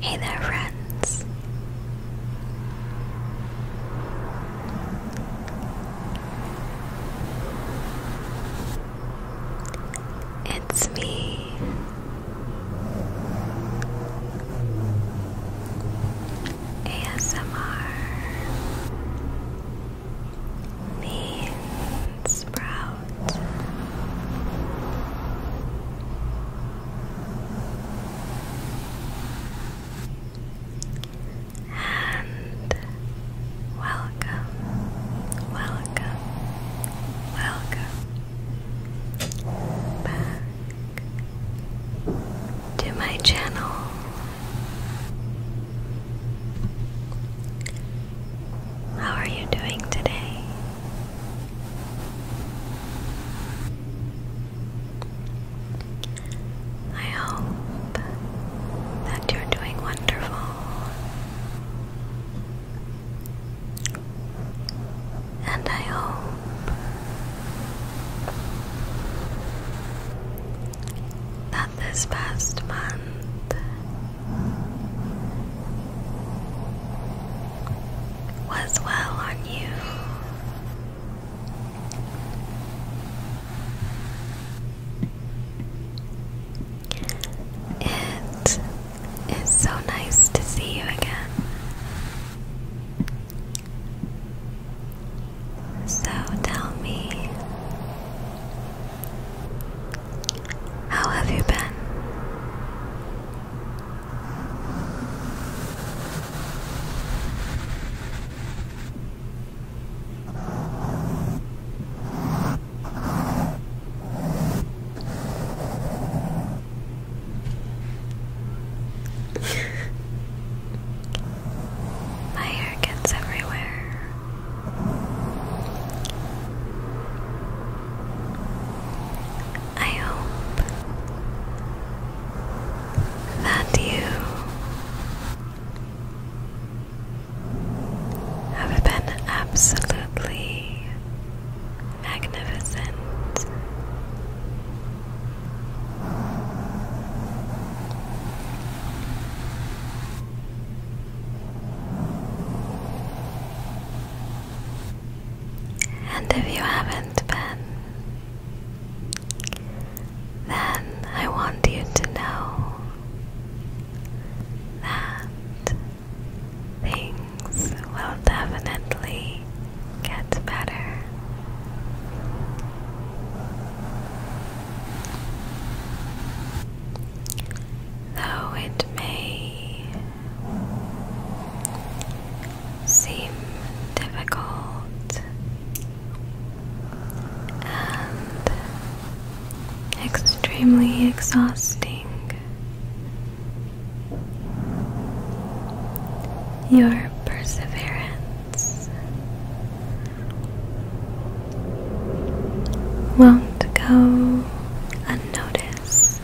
Hey there, friends. It's me. ASMR means sprout. And Welcome, welcome, welcome back to my channel. How are you doing today? I hope that you're doing wonderful and I hope that this past month was well on you. It is so nice to see you again. So tell me, how have you been? My hair gets everywhere. I hope that you have been absolutely magnificent. And if you haven't been, then I want you to know that things will definitely get better. Though it may seem difficult and extremely exhausting. Your perseverance won't go unnoticed.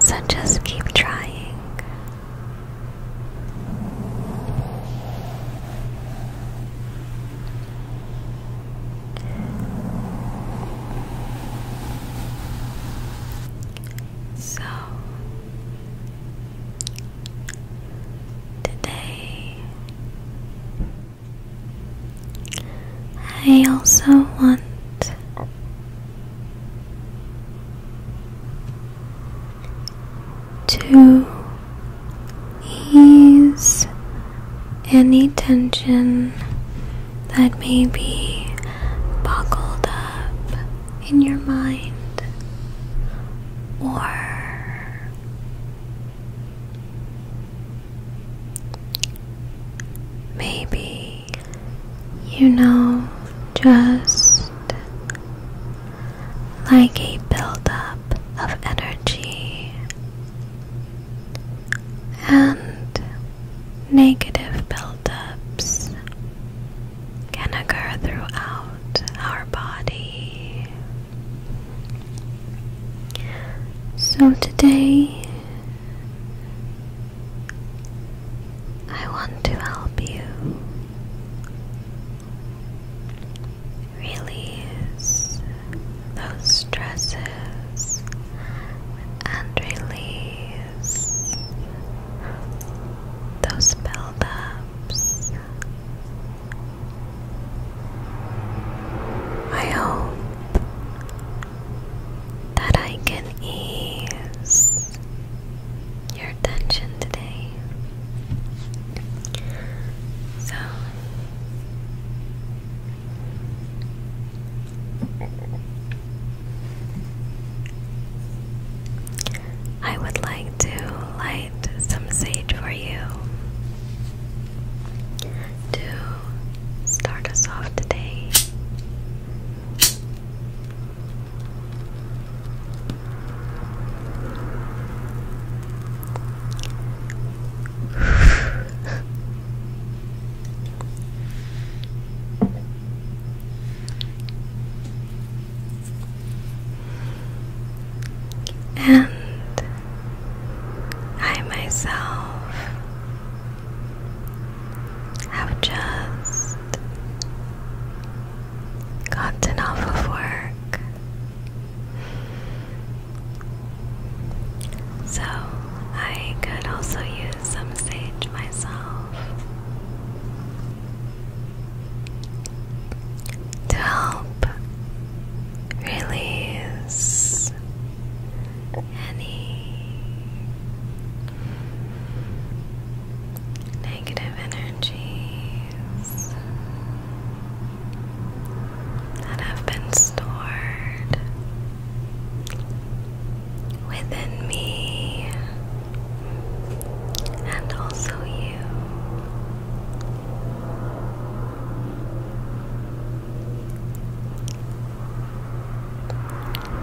So just keep trying. So today I also want to ease any tension that may be boggled up in your mind or maybe you know, just like a buildup of energy and negative buildups can occur throughout our body. So today I want to help you release those stresses and release those buildups. I hope that I can ease your tension today. So I would like to light some sage for you to start us off today. and I myself have just gotten off of work. So I could also use some sage myself to help release any negative energies that have been stored within me and also you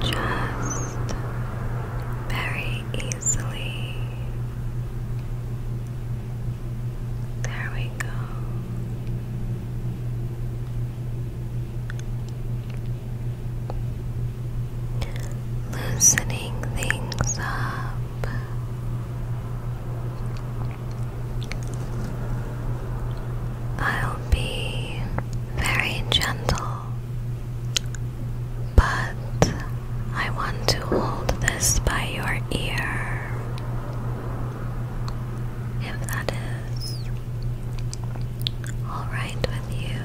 just very easily. There we go. Loosening things up. I'll be very gentle, but I want to hold this by your ear, if that is all right with you.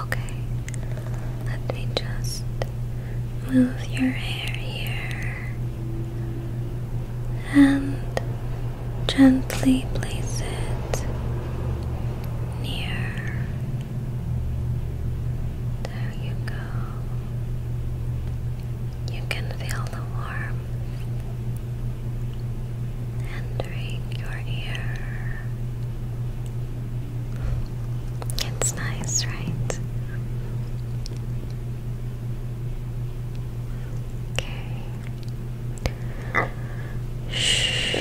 Okay. Let me just move your hair here and gently place it near. There you go. You can feel the warmth entering your ear. It's nice, right? Okay. Shh.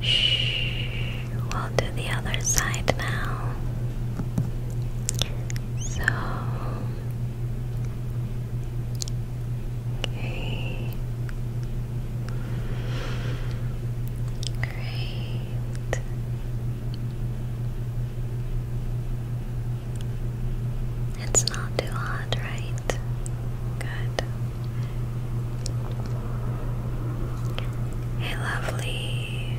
Shh. We'll do the other side now. So Great. It's not too hot, right? Good. A lovely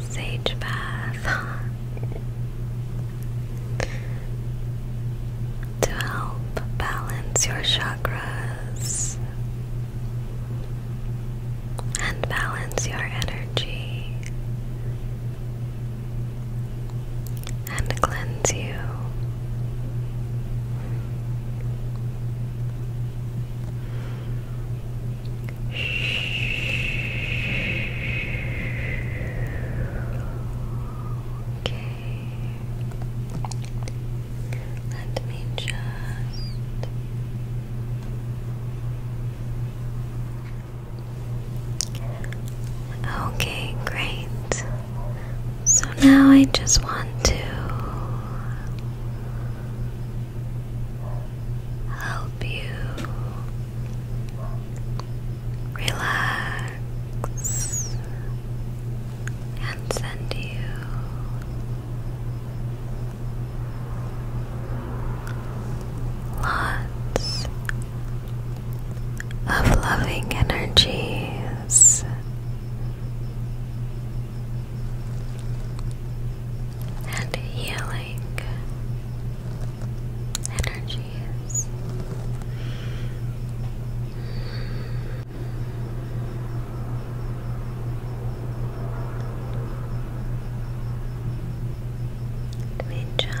sage bath. to help balance your chakras and balance your energy and cleanse you. Okay. Let me just Okay, great. So now I just want to help you relax and send you lots of loving energies. And healing energy energy is. just. There we go.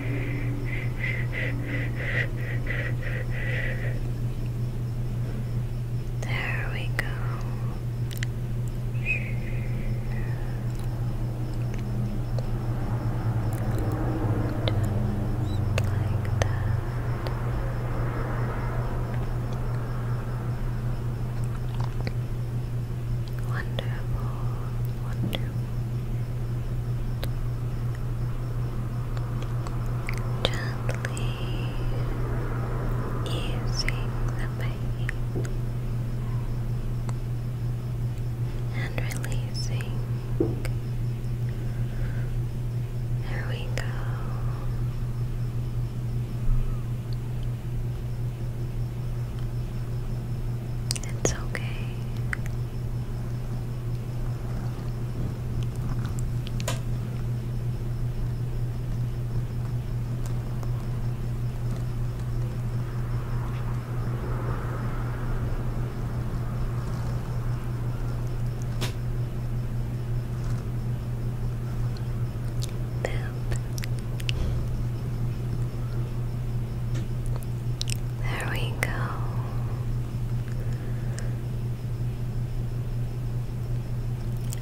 There we go. like that. Wonderful, wonderful. Gently easing the pain and releasing. There we go. It's okay. Boop. There we go.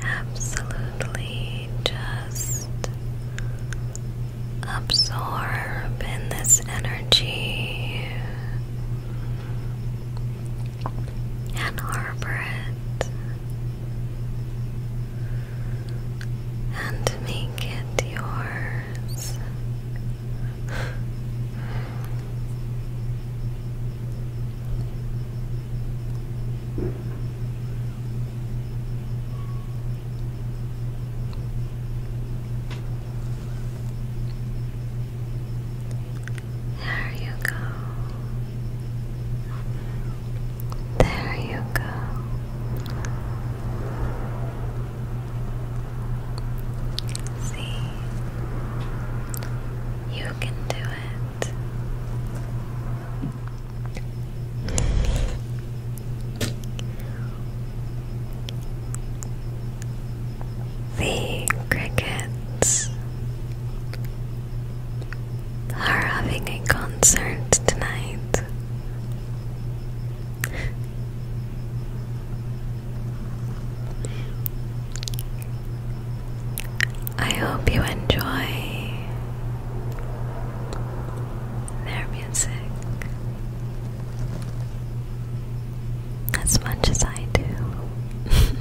Absolutely just absorb in this energy and harbor it and make it yours. There you go. There you go. See, you can do it. The crickets are having a concert tonight. I hope you enjoy their music as much as I do.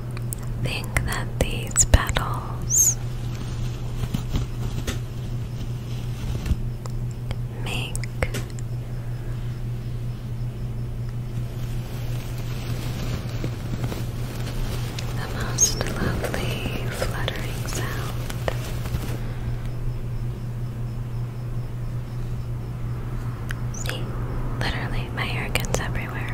think that these petals make the most lovely fluttering sound. See, literally, my hair gets everywhere.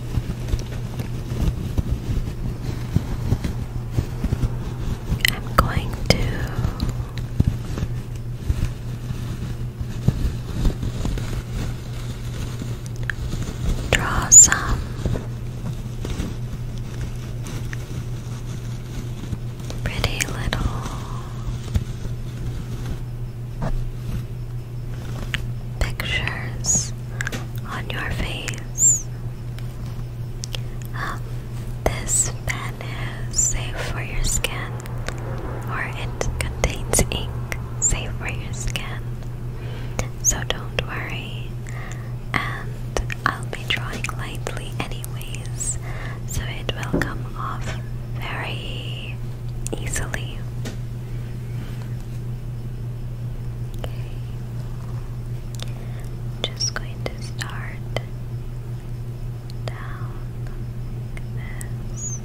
I'm going to draw some pretty little pictures on your face. Um, this pen is safe for your skin, or it contains ink safe for your skin, so don't worry. And I'll be drawing lightly, anyways, so it will come off very easily. Okay. just going to start down this.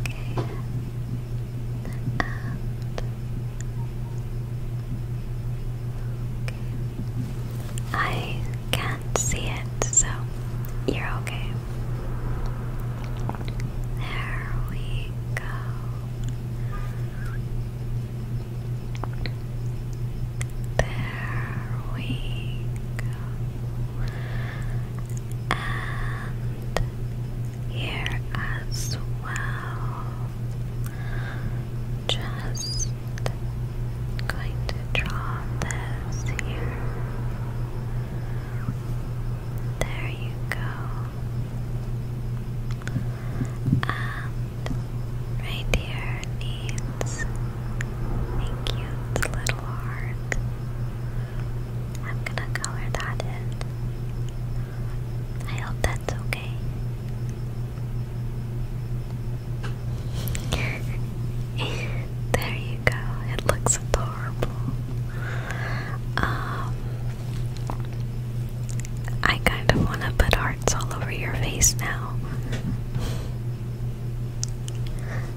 Okay. And okay. I can't see it, so you're okay. There we you go. There we go. And here as well. Just going to draw this here. There you go. And right needs a cute little heart. I'm gonna color that in. I hope that's okay. there you go. It looks adorable. Um, I kind of want to put hearts all over your face now.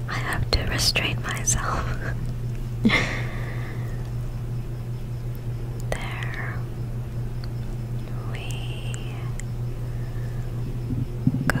I have to restrain myself. there we go.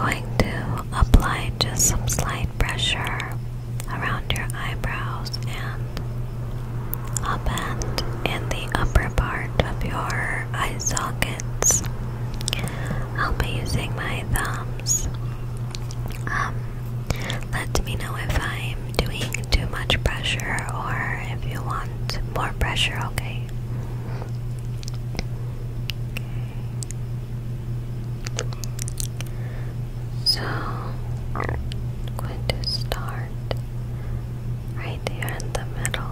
I'm going to apply just some slight pressure around your eyebrows and up and in the upper part of your eye sockets. I'll be using my thumbs. Um, let me know if I'm doing too much pressure or if you want more pressure, okay? okay. So going to start right there in the middle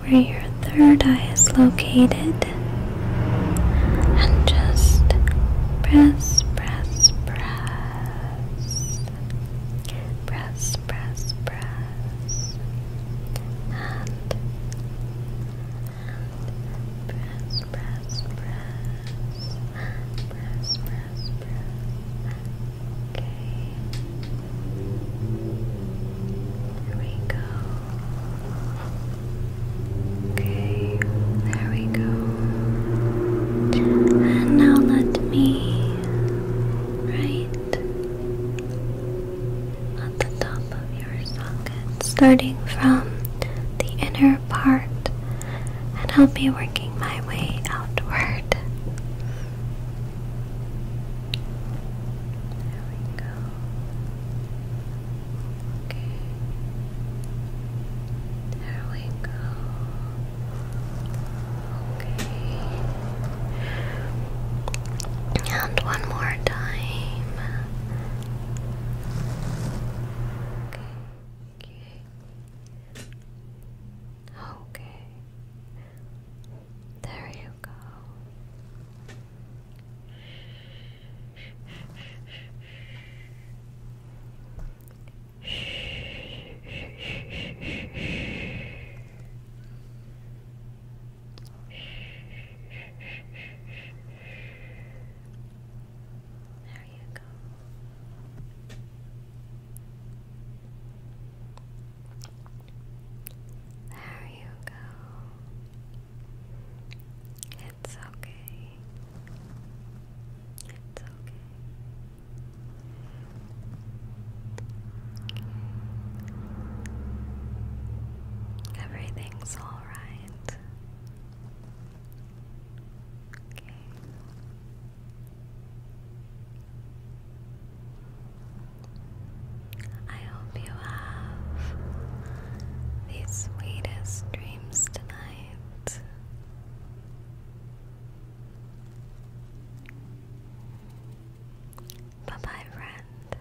where your third eye is located and just press, press, press, press, press, press, and and press, press, press, press, press, press. Okay. There we go. Okay, there we go. And now let me write at the top of your socket, starting from the inner further and I'll be working my way outward. There we go. Okay. There we go. Okay. And one more time okay, okay, okay. There you go. There you go. There you go. It's okay. It's okay. Everything's all right. I hope you have the sweetest dreams tonight. Bye bye, friend.